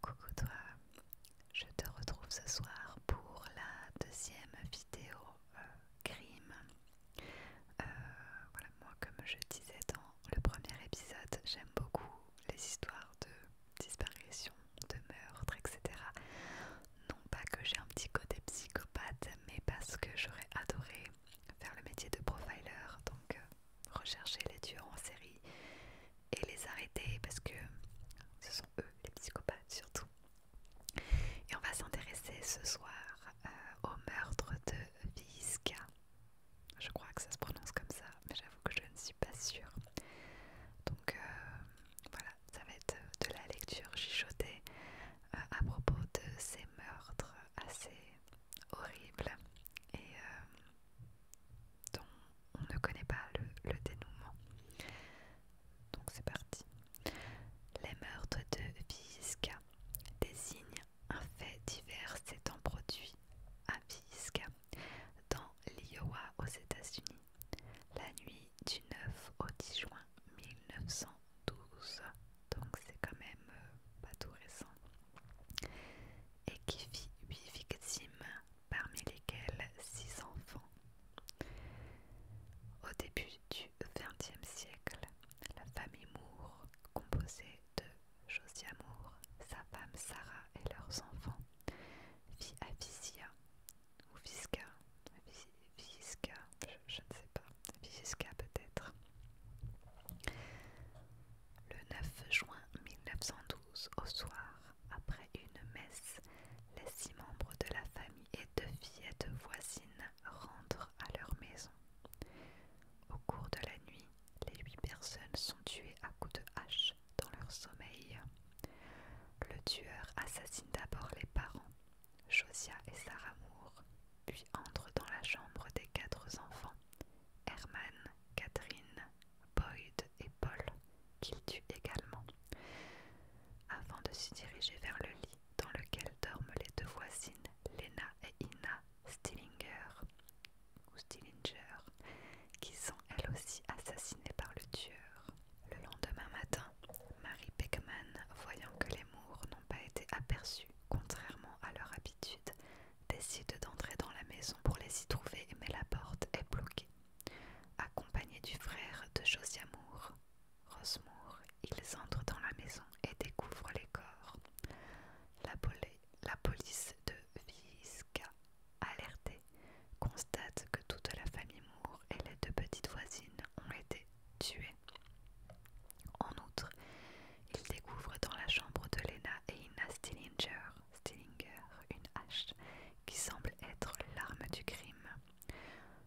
Coucou toi, je te retrouve ce soir pour la deuxième vidéo euh, crime. Euh, voilà, moi comme je disais dans le premier épisode, j'aime beaucoup les histoires de disparition, de meurtre, etc. Non pas que j'ai un petit côté psychopathe, mais parce que j'aurais adoré faire le métier de profiler, donc euh, rechercher les tueurs en série et les arrêter parce que ce sont eux, les psychopathes surtout. Et on va s'intéresser ce soir euh, au meurtre de Visca Je crois que ça se prononce comme ça, mais j'avoue que je ne suis pas sûre. Donc euh, voilà, ça va être de la lecture chichotée euh, à propos de ces meurtres assez horribles et dont on ne connaît pas le, dénouement. Donc c'est parti. Les meurtres de Vizca désignent un fait divers s'étant produit à Vizca dans l'Iowa aux États-Unis, la nuit du 9 au 10 juin 1912. Donc c'est quand même euh, pas tout récent et qui fit huit victimes, parmi lesquelles six enfants. Au début du XXe siècle, la famille Moore, composée de Josia Moore, sa femme Sarah et leurs enfants, vit à ou Visca, Visca, je, ne sais pas, Visca peut-être. Le 9 juin 1912, au soir, après une messe, les six membres de la famille et deux fillettes voisines rentrent à leur maison. Au cours de la nuit, les huit personnes sont tuées à coups de hache dans leur sommeil. Le tueur assassine d'abord les parents, Josia et Sarah Moore, puis entre dans la chambre des quatre enfants Herman, Catherine, Boyd et Paul, qu'il tue également, avant de se diriger vers le lit dans lequel dorment les deux voisines, Lena et Ina Stillinger, Stillinger, qui sont elles aussi assassinées par le tueur. Le lendemain matin, Mary Beckman, voyant que les mours n'ont pas été aperçus, contrairement à leur habitude, décide d'entrer dans la maison pour les y trouver, mais la porte est bloquée. Accompagné du frère de Moore, Rosemour, ils entrent dans la maison et découvrent les corps. La, police de Visca, alertée, constate que toute la famille Moore et les deux petites voisines ont été tuées. En outre, il découvre dans la chambre de Lena Ina Stillinger, Stillinger, une hache, qui semble être l'arme du crime,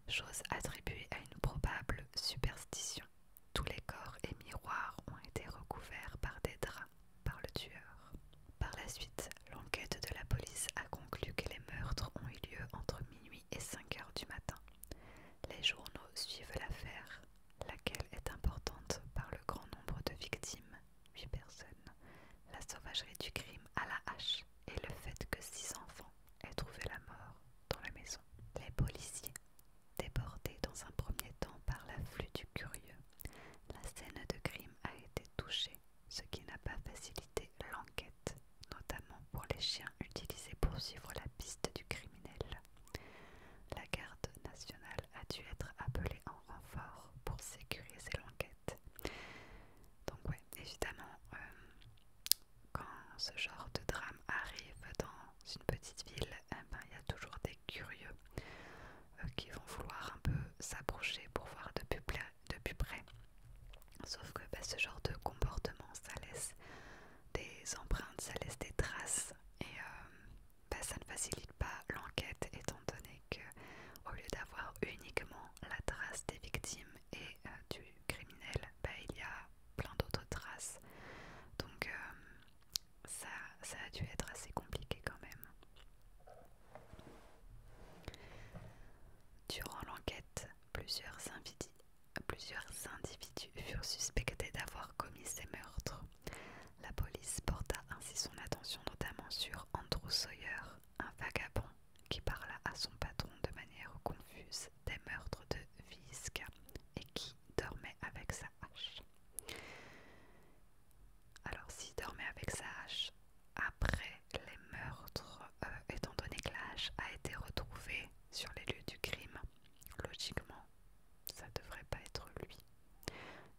chose attribuée à une probable superstition. Tous les corps et miroirs ont été recouverts par des draps par le tueur. Par la suite, l'enquête de la police a conclu que les meurtres ont eu lieu entre minuit et 5 heures du matin. Les journaux suivent l'affaire laquelle est importante par le grand nombre de victimes, 8 personnes, la sauvagerie du crime à la hache et le fait que six enfants aient trouvé la mort dans la maison. Les policiers, débordés dans un premier temps par l'afflux du curieux, la scène de crime a été touchée, ce qui n'a pas facilité l'enquête, notamment pour les chiens utilisés pour suivre la piste du criminel. La garde nationale a dû être appelée en renfort pour sécuriser l'enquête. Donc ouais, évidemment, euh, quand ce genre de drame arrive dans une petite ville, eh ben, il y a toujours des curieux euh, qui vont vouloir un peu s'approcher pour voir de plus, près. Sauf que bah, ce genre de comportement, ça laisse des empreintes, ça laisse des traces et euh, ben, ça ne facilite pas l'enquête étant donné que au lieu d'avoir uniquement la trace des victimes et euh, du criminel, ben, il y a plein d'autres traces. Donc euh, ça, a dû être assez compliqué quand même. Durant l'enquête, plusieurs invités Plusieurs individus furent suspectés d'avoir commis ces meurtres. La police porta ainsi son attention notamment sur Andrew Sawyer, un vagabond qui parla à son patron de manière confuse des meurtres de visque et qui dormait avec sa hache. Alors s'il dormait avec sa hache après les meurtres, euh, étant donné que la hache a été retrouvée sur les lieux du crime, logiquement ça devrait pas être lui.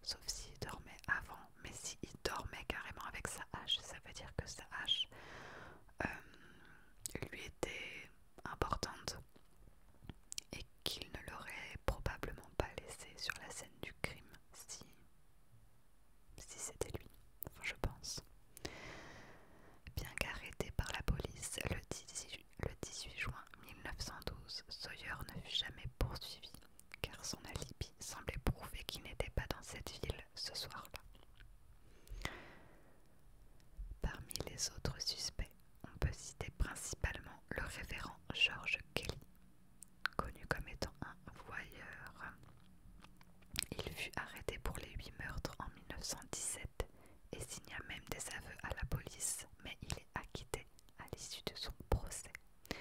Sauf s'il dormait avant, mais s'il dormait carrément avec sa hache, ça veut dire que sa hache euh, lui était importante et qu'il ne l'aurait probablement pas laissé sur la scène du crime si, si c'était lui, enfin je pense. Bien qu'arrêté par la police le 10 le 18 juin 1912, Sawyer ne fut jamais poursuivi car son alibi semblait prouver qu'il n'était pas dans cette ville ce soir-là. Parmi les autres suspects, on peut citer principalement le révérend George Kelly, connu comme étant un voyeur. Il fut arrêté pour les huit meurtres en 1917 et signa même des aveux à la police, mais il est acquitté à l'issue de son procès. Et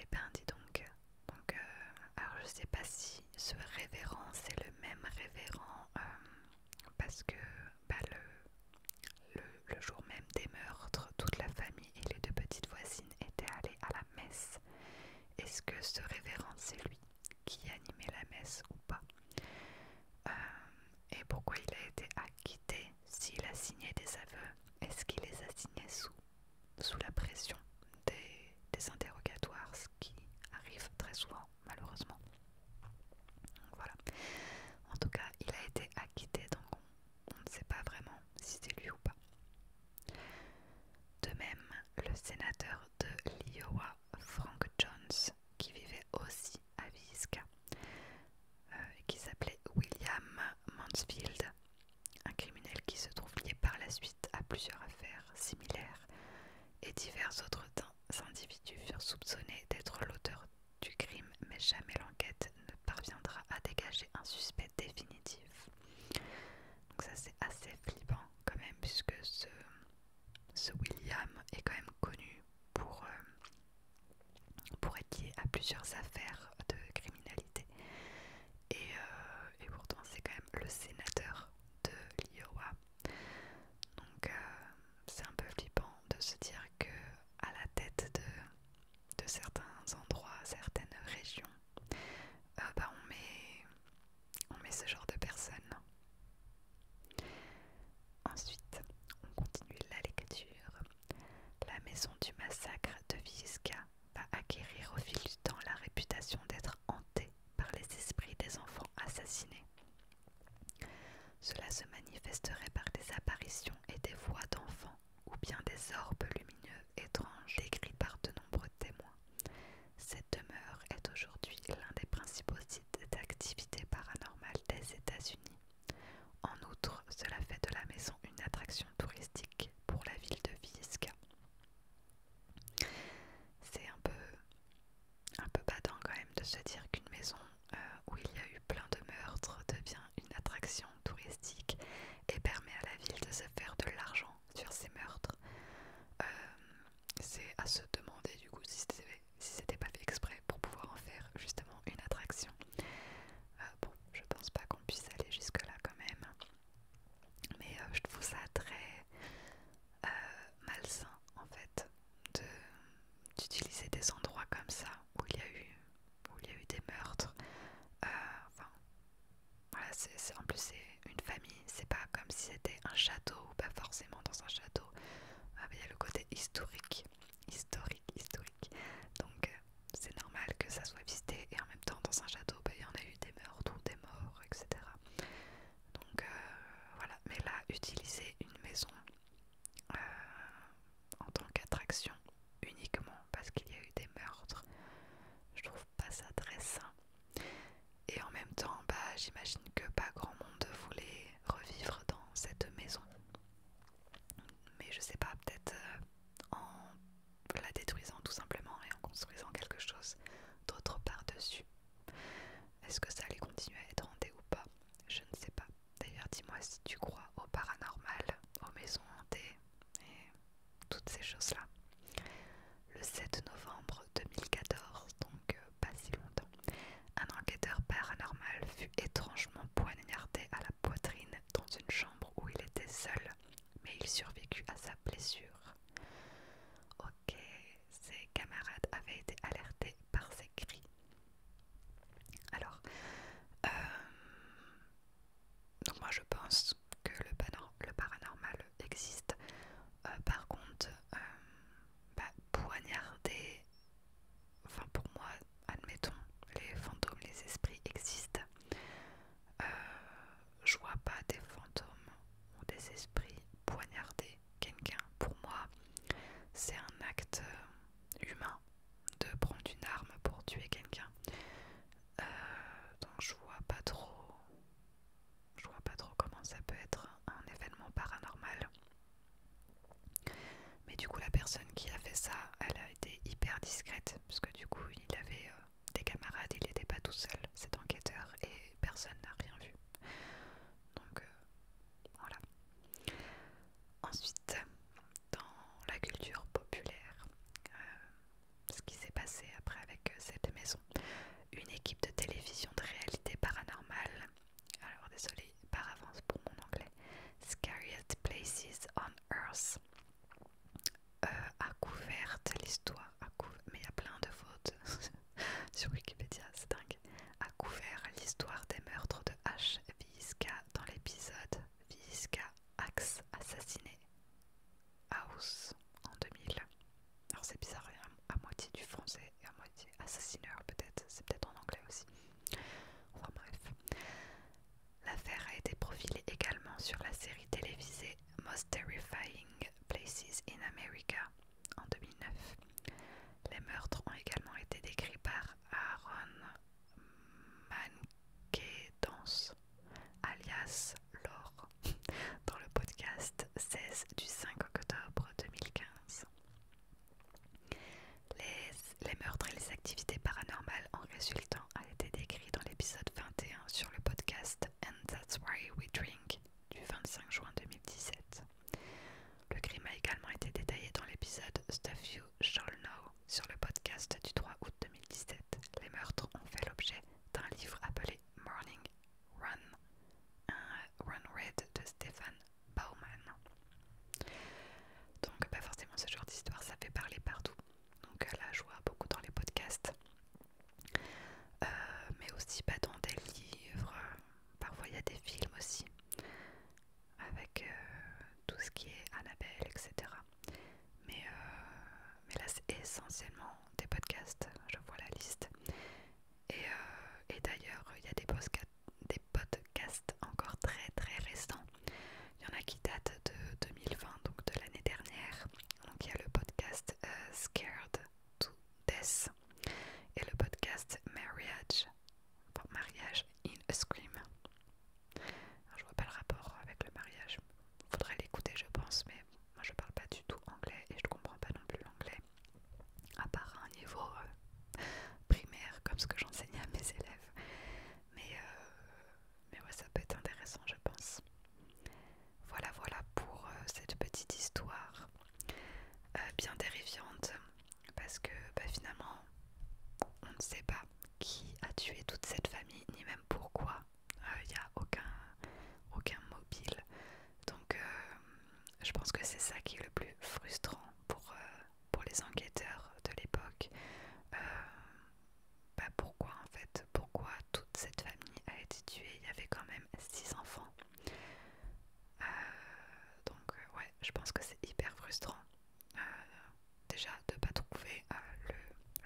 eh ben dis donc, donc euh, je sais pas si ce révérend c'est le même révérend euh, parce que bah, le jour même des meurtres, toute la famille et les deux petites voisines étaient allées à la messe. Est-ce que ce révérend c'est lui qui animait la messe ou pas, euh, et pourquoi il a été acquitté s'il a signé des aveux, est-ce qu'il les a signés sous, sous la pression des, interrogatoires, ce qui arrive très souvent malheureusement. Donc voilà. En tout cas, il a été acquitté, donc on ne sait pas vraiment si c'est lui ou pas. De même, le sénateur de l'Iowa, Frank Jones qui vivait aussi à Visca, euh, qui s'appelait William Mansfield, un criminel qui se trouve lié par la suite à plusieurs affaires similaires et divers autres individus furent soupçonnés d'être l'auteur du crime, mais jamais l'enquête ne parviendra à dégager un suspect définitif. Donc ça c'est assez flippant quand même, puisque ce, William est quand même connu pour, euh, pour être lié à plusieurs affaires de criminalité. Euh, et, pourtant, c'est quand même le sénateur de l'Iowa. Donc, euh, c'est un peu flippant de se dire que à la tête de certains endroits, certaines régions, euh, bah, on, met, ce genre de personne. Ensuite, on continue la lecture. La maison du massacre de Visca va acquérir au fil du temps la réputation d'être hantée par les esprits des enfants assassinés. Cela se manifesterait par des apparitions et des voix d'enfants ou bien des orbes lumineux étrange décrit par de nombreux témoins. Cette demeure est aujourd'hui l'un des principaux sites d'activité paranormale des États-Unis. En outre, cela fait de la maison une attraction touristique pour la ville de Visca. C'est un peu, un peu quand même de se dire qu'une maison euh, où il y a eu plein de meurtres devient une attraction touristique et permet à la ville de se faire de l'argent sur ces meurtres, euh, c'est à se demander du coup si c'était pas fait exprès pour pouvoir en faire justement une attraction. Euh, bon, je pense pas qu'on puisse aller jusque là quand même, mais euh, je trouve ça très malsain en fait d'utiliser des endroits comme ça où il y a eu il y a eu des meurtres. enfin, voilà, c'est en plus c'est une famille, c'est pas comme si c'était un château ou pas forcément dans un château. Ah, il y a le côté historique, historique, historique. Donc euh, c'est normal que ça soit visité et en même temps dans un château, bah, il y en a eu des meurtres ou des morts, etc. Donc euh, voilà, mais là, utiliser une maison euh, en tant qu'attraction uniquement parce qu'il y a eu des meurtres, je trouve pas ça très sain. Et en même temps, bah, j'imagine que pas grand monde voulait revivre dans cette maison. Mais je sais pas, peut-être euh, en la détruisant tout simplement et en construisant quelque chose d'autre par-dessus. Est-ce que ça allait continuer à être hanté ou pas Je ne sais pas. D'ailleurs, dis-moi si tu crois au paranormal, aux maisons hantées toutes ces choses-là. Le 7 novembre 2014, donc euh, pas si longtemps, un enquêteur paranormal fut étrangement poignardé à la poitrine dans une chambre où il était seul, mais il survécut à sa blessure. Ok, ses camarades avaient été alertés par ses cris. Alors, euh, donc moi je pense que le, paranormal existe. Euh, par contre, euh, bah, poignarder, enfin pour moi, admettons, les fantômes, les esprits existent. Euh, je vois pas des fantômes ou des esprits poignarder quelqu'un. Pour moi, c'est un acte humain de prendre une arme pour tuer quelqu'un. Euh, donc je vois pas trop, je vois pas trop comment ça peut être un événement paranormal. Mais du coup la personne qui a fait ça, elle a été hyper discrète parce que du coup il avait euh, des camarades, il n'était pas tout seul, cet enquêteur et personne n'a rien vu. Donc euh, voilà. Ensuite, dans la culture populaire, ce qui s'est passé après avec euh, cette maison. Une équipe de télévision de réalité paranormale, alors désolée par avance pour mon anglais, Scariest Places on Earth, euh, a couvert l'histoire, mais il y a plein de fautes sur Wikipédia, c'est dingue, a couvert l'histoire des meurtres de H. dans l'épisode Visca Axe assassiné. House en 2000. Alors c'est bizarre, à moitié du français et à moitié assassineur peut-être, c'est peut-être en anglais aussi. Enfin bref. L'affaire a été profilée également sur la série télévisée Most Terrifying Places in America en 2009. Les meurtres ont également été décrits par Aaron danse alias Lore, dans le podcast 16 du 5 octobre 2015. Les, les meurtres et les activités paranormales en résultant a été décrit dans l'épisode 21 sur le podcast And That's Why We Drink du 25 juin 2017. Le crime a également été détaillé dans l'épisode Stuff You Radio sur le podcast du 3 août 2017. Les meurtres ont fait l'objet d'un livre appelé Morning Run, un run Red de Stephen Bauman. Donc, pas forcément, ce genre d'histoire, ça fait parler partout. Donc là, je vois beaucoup dans les podcasts, euh, mais aussi pas bah, dans des livres. Parfois, il y a des films aussi avec euh, tout ce qui est Annabelle, etc. Mais, euh, mais là, c'est essentiellement des podcasts. Je vois la liste. Et, euh, d'ailleurs, il y a des, podcasts encore très très récents. Il y en a qui datent de 2020, donc de l'année dernière. Donc il y a le podcast Scared to Death et le podcast Marriage, in a Scream je vois pas le rapport avec le mariage. il Faudrait l'écouter, je pense, mais moi je parle pas du tout anglais et je ne comprends pas non plus l'anglais. À part un niveau euh, primaire, comme ce que j'enseignais à mes élèves. Mais, euh, mais ça peut être intéressant, je pense. Voilà, voilà pour euh, cette petite histoire bien terrifiante parce que bah, finalement on ne sait pas qui a tué toute cette famille ni même pourquoi il euh, n'y a aucun, mobile donc euh, je pense que c'est ça qui est le plus frustrant pour, euh, les enquêteurs de l'époque bah, pourquoi en fait pourquoi toute cette famille a été tuée il y avait quand même six enfants donc ouais je pense que c'est hyper frustrant euh, déjà de pas trouver euh,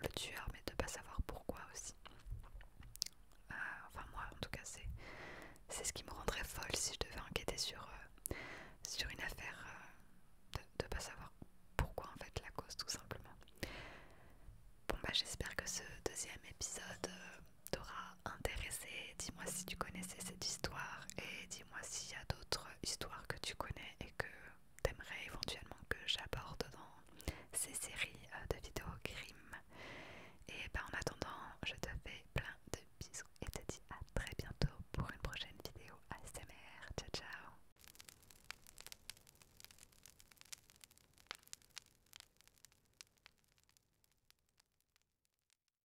le, tueur mais de pas savoir pourquoi aussi euh, enfin moi en tout cas c'est c'est ce qui me rendrait folle si je devais enquêter sur sur une affaire de, ne pas savoir pourquoi en fait la cause tout simplement bon bah j'espère que ce deuxième épisode t'aura intéressé dis-moi si tu connaissais cette histoire et dis-moi s'il y a d'autres histoires que tu connais et que t'aimerais éventuellement que j'aborde dans ces séries euh, de vidéos crime. Et ben en attendant, je te fais plein de bisous et te dis à très bientôt pour une prochaine vidéo ASMR. Ciao ciao